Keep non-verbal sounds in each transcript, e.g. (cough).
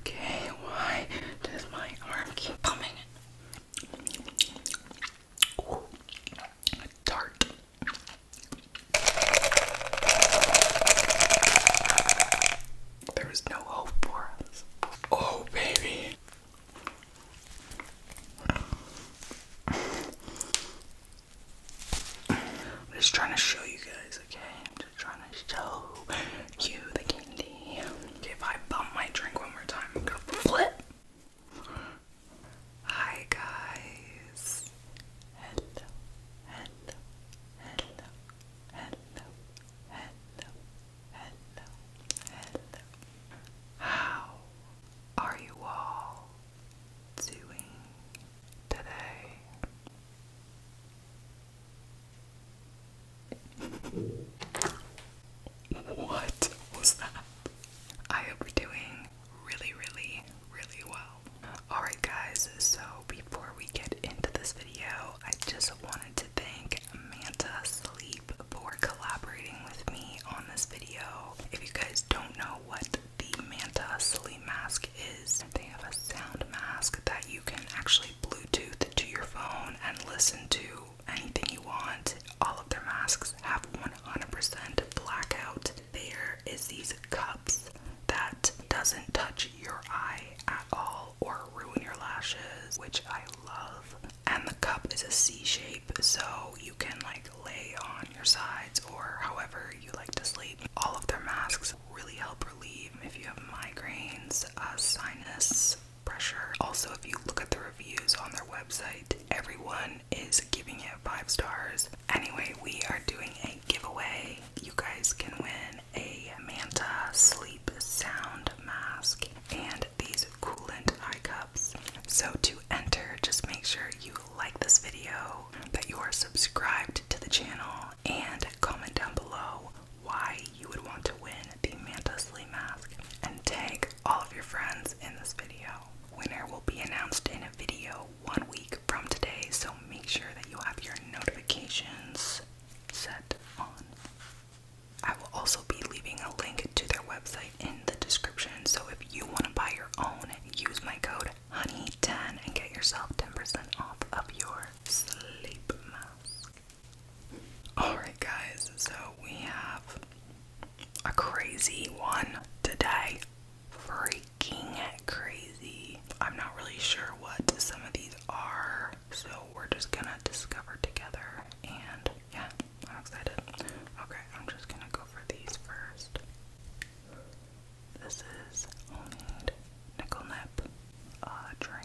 Okay, why does my arm keep coming? dart. There is no hope for us. Oh, baby. I'm just trying to show you guys, okay? I'm just trying to show you the candy. Okay, if I bump my drink one more time, I'm gonna flip. Hi guys. Hello, hello, hello, hello, hello, hello, hello. How are you all doing? today. What was that? I hope you're doing really, really, really well. Alright, guys, so before we get into this video, I just wanted to thank Manta Sleep for collaborating with me on this video. If you guys don't know what the Manta sleep mask is they have a sound mask that you can actually Bluetooth to your phone and listen to anything you want. All of their masks have 100% blackout. There is these cups that doesn't touch your eye at all or ruin your lashes, which I love. And the cup is a C shape, so you can like lay on your sides or however you like to sleep. All of their masks really help relieve if you have migraines, uh, sinus pressure. Also, if you look at the reviews on their website, everyone is giving it five stars. Anyway, we are doing a giveaway. You guys can win a Manta Sleep Sound Mask and these coolant eye cups. So, to enter, just make sure you like this video, that you are subscribed to the channel, and comment down below why you would want to win the Manta Slee mask and tag all of your friends in this video. Winner will be announced in a video one week from today, so make sure that you have your notifications set on. I will also be leaving a link to their website in the description, so if you want to buy your own, use my code Honey 10 and get yourself 10% off of your sleep mask. Alright, guys, so we have a crazy one today. Freaking crazy. I'm not really sure what some of these are, so we're just gonna discover together. And yeah, I'm excited. Okay, I'm just gonna go for these first. This is homemade nickel nip drink.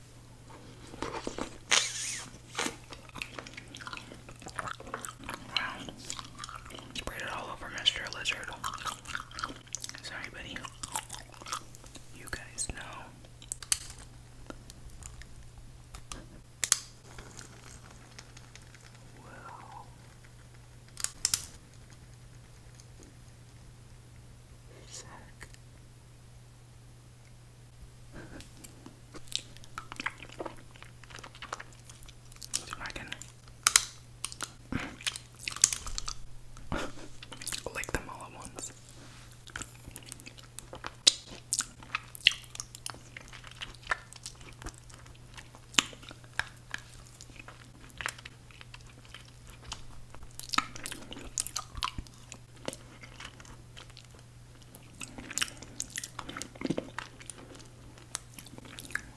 Wow. Spread it all over Mr. Lizard. Sorry, buddy. You guys know. Wow. Sick. Let's I can lick them all at once.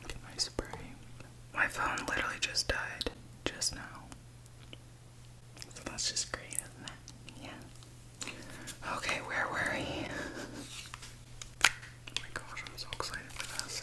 Get my spray. My phone literally just died just now. that's just great, Yeah. Okay, where were we? (laughs) oh my gosh, I'm so excited for this.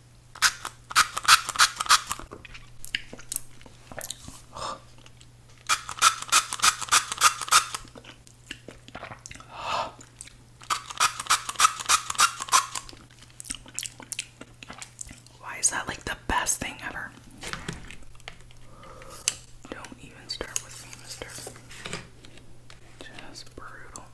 Why is that like the best thing ever? Don't even start with me, mister. Just brutal.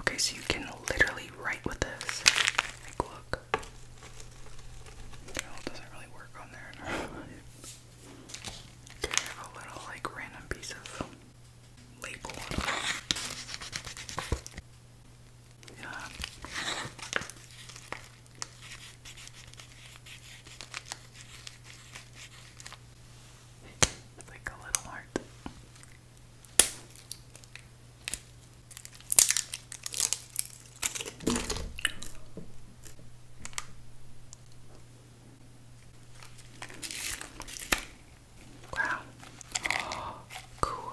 Okay, so you can literally write with this. look. doesn't really work on there. okay, (laughs) a little, like, random piece of label Yeah. Like a little heart. Wow. (gasps) cool.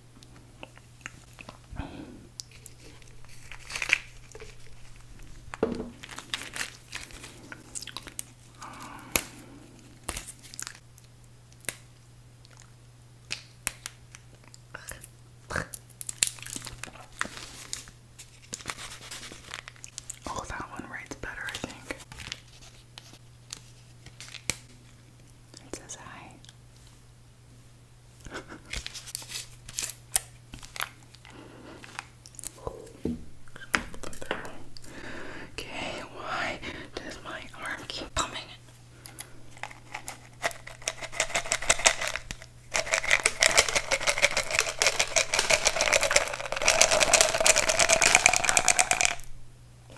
Oh, that one writes better, I think. It says hi okay, why does my arm keep pumping?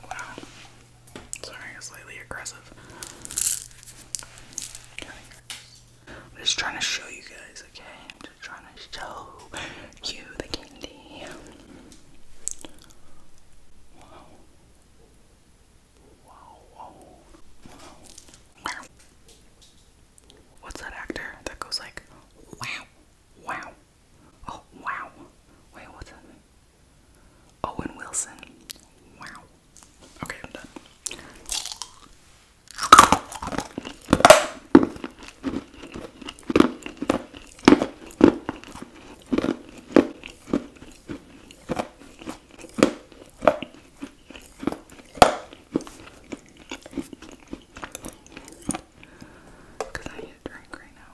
Wow. Sorry, I'm slightly aggressive. Okay. I'm just trying to show you guys, okay? I'm just trying to show you the candy. Wow. Wow, wow, wow. What's that actor that goes like, wow, wow, oh, wow. Wait, what's that? Owen Wilson. Wow. Okay, I'm done. Because I need a drink right now.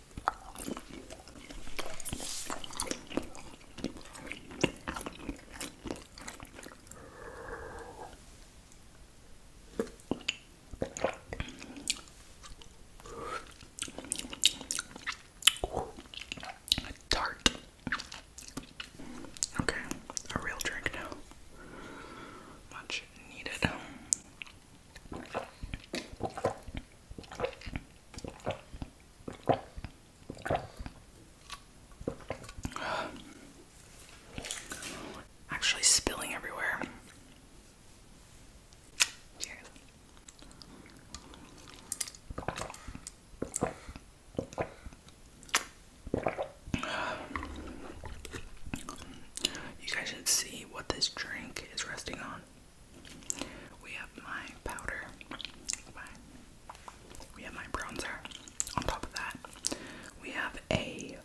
Tart. Okay, a real drink now. Much needed. Actually, spilling everywhere. You guys should see what this drink is resting on. We have my powder. we have my bronzer. On top of that, we have a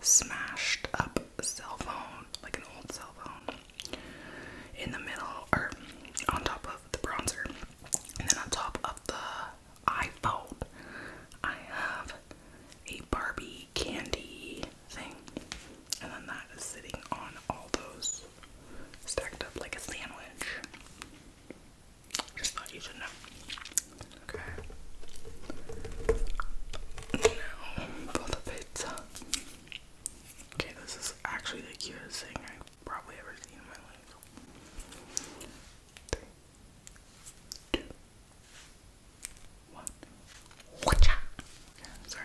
smashed up cell phone, like an old cell phone. In the middle, or on top of the bronzer, and then on top of the iPhone, I have a Barbie candy thing, and then that is sitting on all those stacked up like a sandwich. Just thought you should know. Okay. Now for the pizza. Okay, this is actually the cutest thing I've probably ever seen in my life. Three, two, one. Watcha! sorry.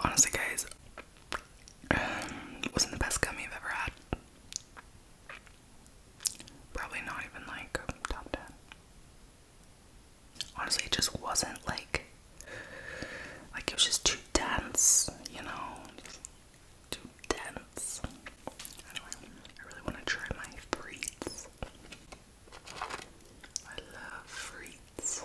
Honestly, guys, um, (sighs) wasn't the best gummy I've ever had. Probably not even like top 10 honestly it just wasn't like like it was just too dense, you know. Too dense. Anyway, I really want to try my frites. I love frites.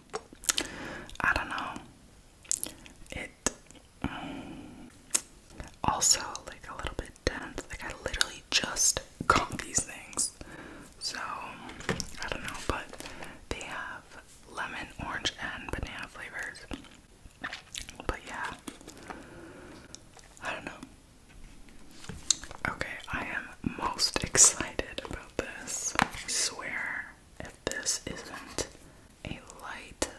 I don't know. It mm, also like a little bit dense. Like I literally just got these things. So I don't know, but they have lemon, orange, and banana flavors. But yeah. I don't know. Okay, I am most (laughs) excited about this. swear if this isn't a light,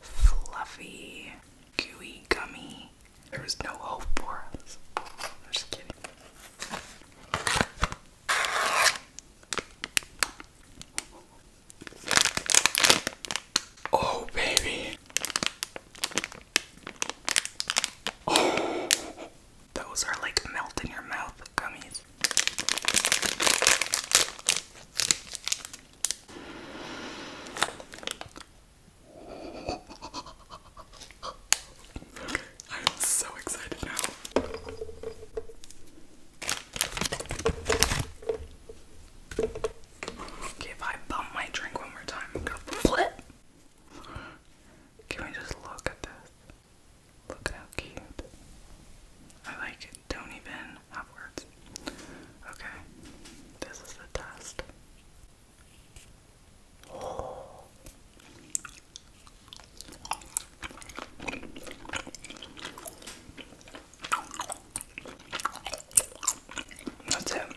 fluffy, gooey gummy. There is no hope for us. just kidding. Oh, baby. Those are like melt in your mouth gummies. (laughs) I'm so excited now. Okay, if I bump my drink one more time, I'm gonna flip. Can we just look at this? Look how cute. I like Don't even have words. Okay, this is the test. That's it.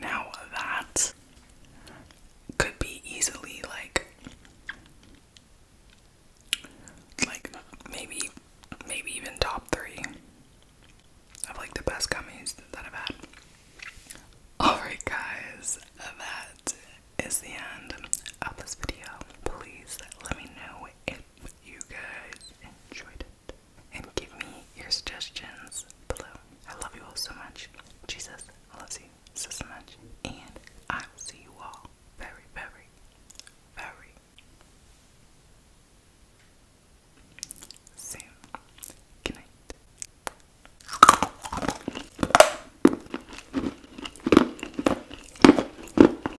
Now that could be easily like like maybe maybe even top three of like the best gummies that I've had. Alright guys, that is the end of this video. Please let me know if you guys enjoyed it. And give me your suggestions below. I love you all so much. Jesus I love you so, so much. And I will see you all very, very, very soon. Good night.